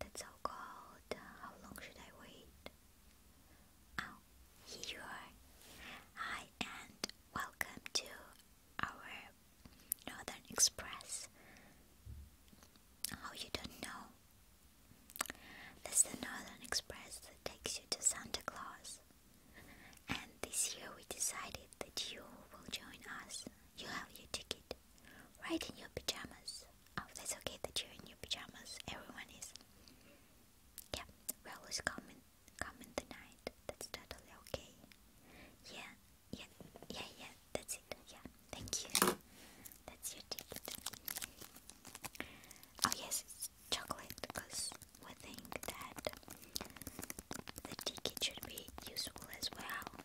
That's how cold. Uh, how long should I wait? Oh, here you are. Hi, and welcome to our Northern Express. Oh, you don't know? That's the Northern Express that takes you to Santa Claus. And this year we decided that you will join us. You have your ticket right in your pajamas. Oh, that's okay that you're in your pajamas. Everyone is. Yeah, we're always come in, the night. That's totally okay. Yeah, yeah, yeah, yeah. That's it. Yeah, thank you. That's your ticket. Oh yes, it's chocolate because we think that the ticket should be useful as well.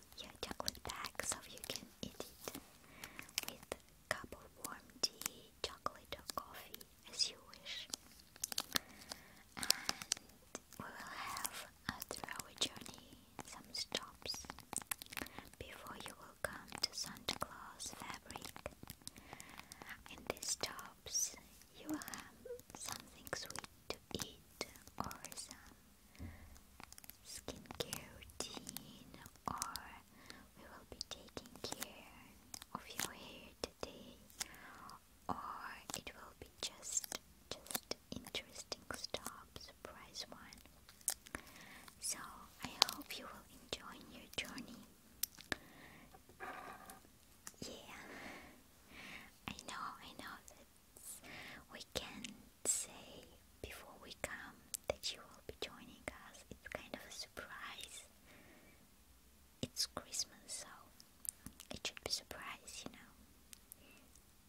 your chocolate bag so you can eat it with a cup of warm tea, chocolate or coffee as you wish. And we will have a 3 journey, some stops before you will come to Santa Claus Fabric. In these stops, you will have something sweet to eat or some skincare routine or we will be taking care of your hair today or it will be just just interesting stuff surprise one so I hope you will enjoy your journey yeah I know I know that we say before we come that you will be joining us. It's kind of a surprise. It's Christmas, so it should be a surprise, you know.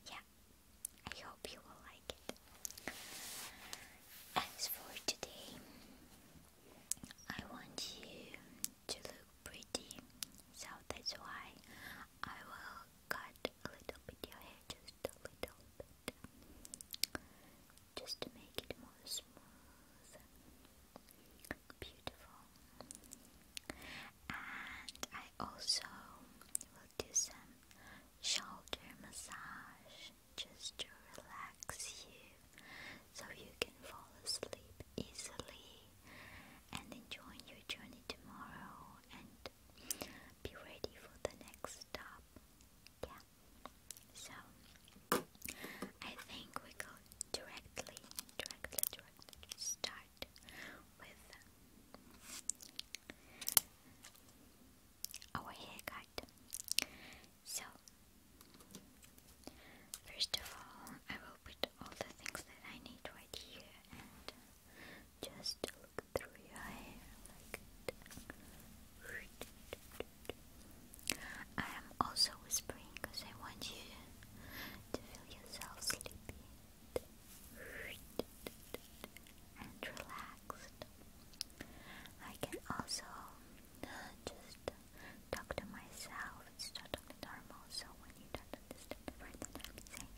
Yeah, I hope you will like it. As for today, I want you to look pretty, so that's why I will cut a little bit your hair, just a little bit, just to make it more smooth, beautiful. And I also will do some shoulder massage just to relax you so you can fall asleep easily and enjoy your journey tomorrow and be ready for the next stop. Yeah. So I think we go directly, directly, directly start with our haircut. So first of all, I will put all the things that I need right here and just look through your eyes. like that. I am also whispering because I want you to feel yourself sleepy and relaxed. I can also uh, just talk to myself. It's totally normal. So when you don't understand the words that I'm saying,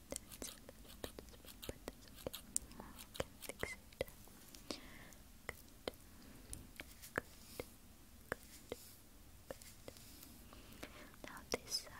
That's a Now this side.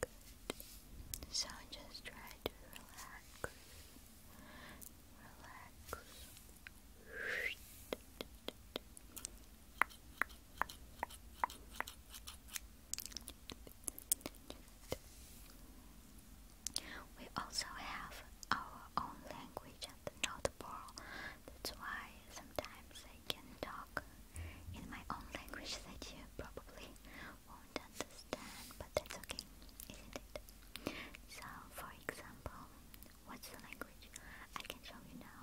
Good. So just try to relax. Relax. We also have our own language at the North That's why sometimes I can talk in my own language that you probably won't understand, but that's okay, isn't it? So, for example, what's the language? I can show you now.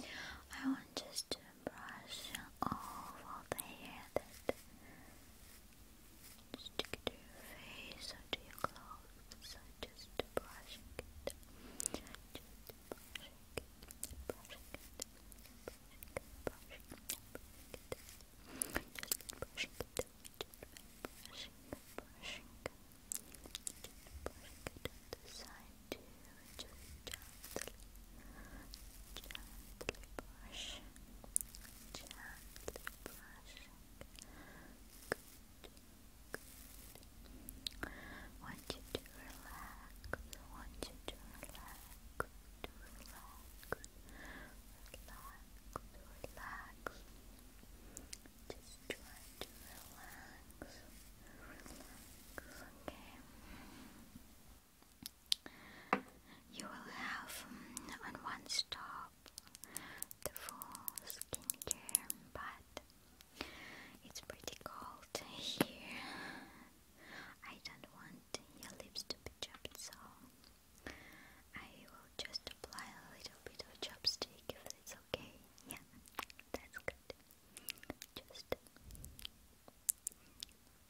I want just to brush off all the hair that stick to your face or to your clothes. So just brushing it, just brushing it, brushing it, brushing it, brushing it, brushing it, just brushing it, just brushing, brushing, just brushing it to the side to just gently, gently brush, gently brushing. Good, good. Want you to relax. Want you to relax. To relax. Relax. Relax. Just try to relax. Relax. Okay. You will have mm, on one stop the full skincare, but it's pretty cold here. I don't want your lips to be chapped, so I will just apply a little bit of chapstick if it's okay. Yeah, that's good. Just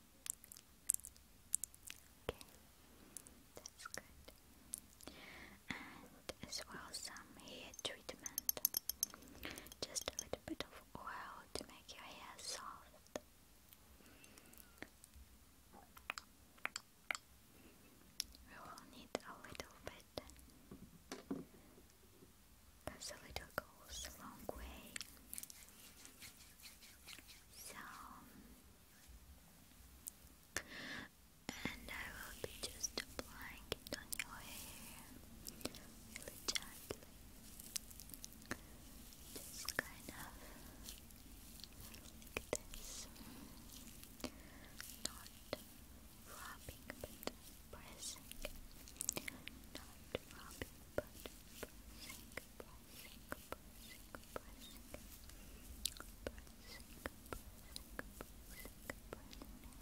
Okay, that's good. And as well some hair treatment. Just a little bit of oil to make your hair soft. We will need a little bit. Because a little goes a long way. So, and I will be just applying it on your hair really gently. Just kind of like this. Not rubbing, but pressing. Not rubbing,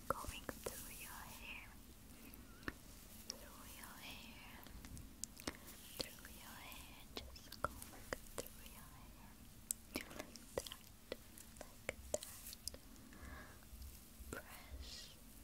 going through your hair, through your hair, through your hair, just going through your hair, like that, like that. Press,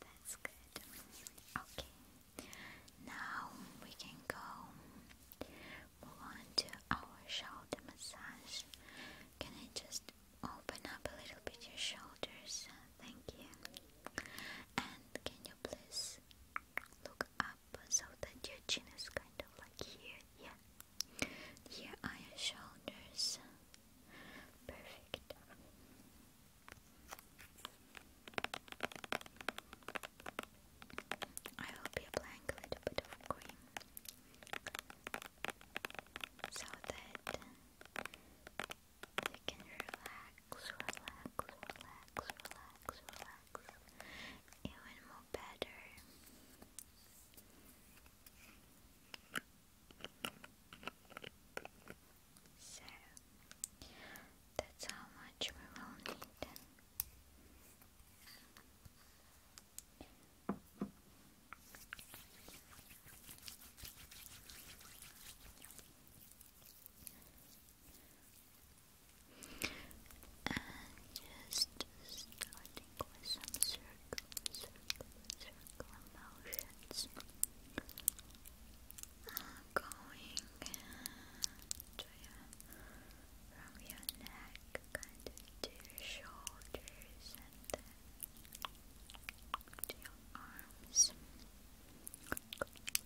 That's good. Okay. Now we can go move on to our shoulder massage. Can I just open up a little bit your shoulders? Thank you. And can you please look up so that your chin is kind of like here? Yeah. Here are your shoulders. Perfect. I hope you applying a little bit of cream so that you can relax, relax, relax, relax, relax even more better. So that's how much we will need. And just starting with some circle, circle, circle motions going to from your neck kind to your shoulders and then to your arms. Going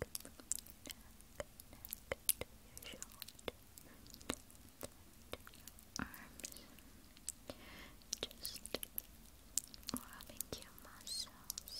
neck, neck to your shoulder, and to your arms. Just rubbing your muscles.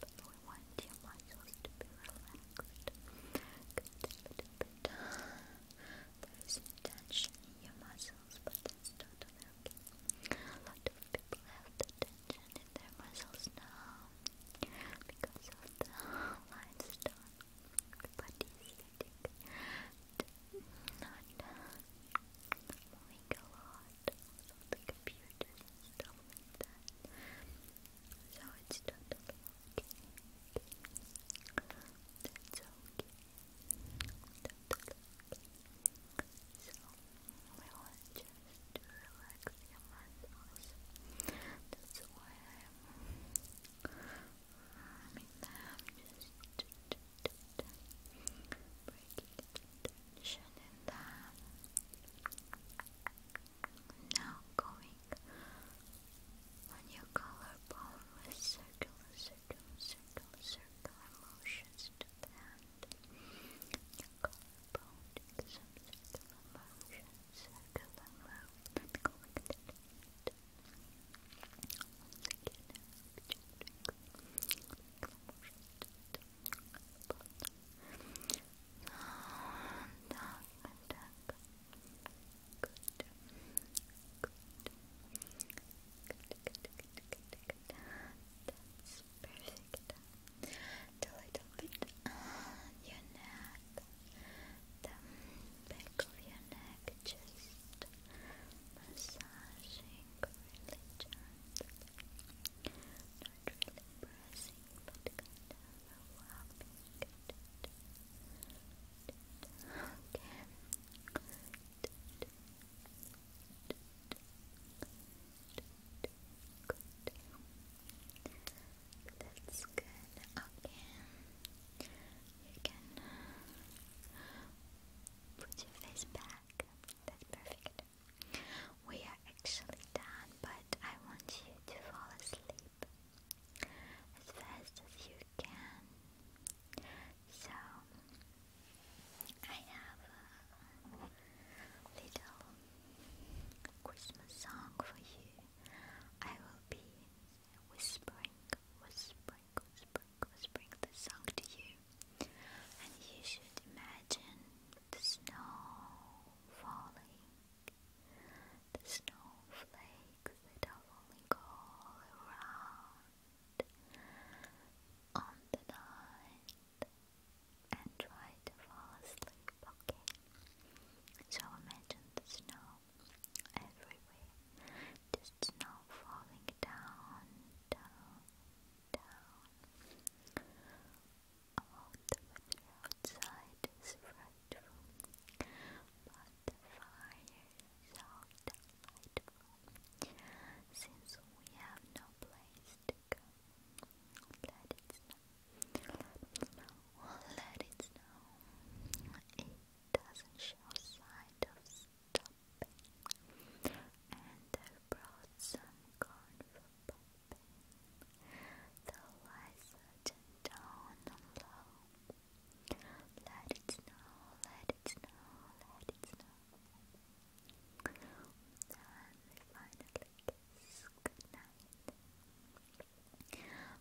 But we want muscles to be relaxed. There is tension in your muscles, but that's totally okay. A lot of people have tension in their muscles now because of the limestone. But it's getting not moving a lot lot, also So it's totally okay. That's So we want just to relax your muscles. That's why I'm warming them just breaking it tension in Now going on your collarbone with circular, circular, circular, circular motions to the hand. Your collarbone, take some circular motions, circular motions, going to the hand. Once again, circular motions that's perfect. The your neck, the back of your neck, just massaging not really pressing that's good. Okay. You can put your face back. That's perfect. We are actually done, but I want you to fall asleep as fast as you can. So, I have a little Christmas song for you. I will be whispering, whispering, whispering, whispering the song to you, and you should imagine the snow falling. The snowflakes that have all around on the night and try to fall asleep, okay? So imagine the snow everywhere, just snow falling down, down, down. Oh, the weather outside is frightful, but the fire is so Since we have no place to go, let it snow, let it snow, it doesn't show sign of stopping, and I brought some corn the lights turned down low. Let it snow, let it snow, let it snow. Then we finally kiss goodnight.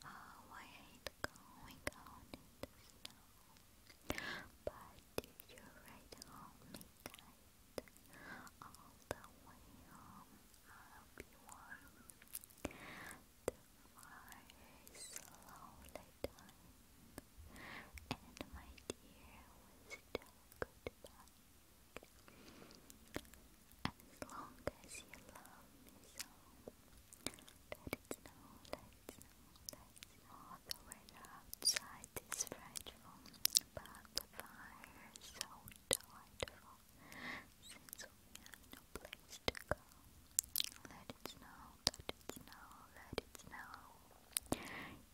Oh, I hate going out in the snow. But if you're right home, it went all the way home. I'll be warm. The fire slowly died, and my dear was still goodbye. As long as you love me so, let it snow, let it snow, let it snow. the weather outside is frightful, but the fire so let it snow, let it snow, let it snow.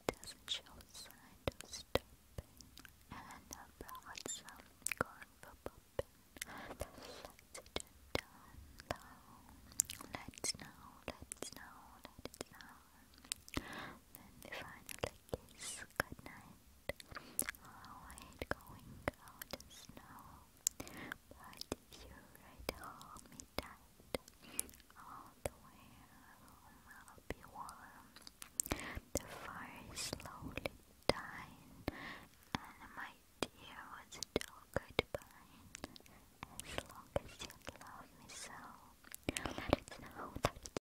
doesn't show sign of stopping, and I brought some corn Let's sit snow, let it snow, let it snow, then they finally kiss goodnight. Oh, I hate going out in snow, but if you ride home me tight all the way I'll be warm. The fire slowly dying, and my dear was still goodbye. As long as you love me so, let it snow, let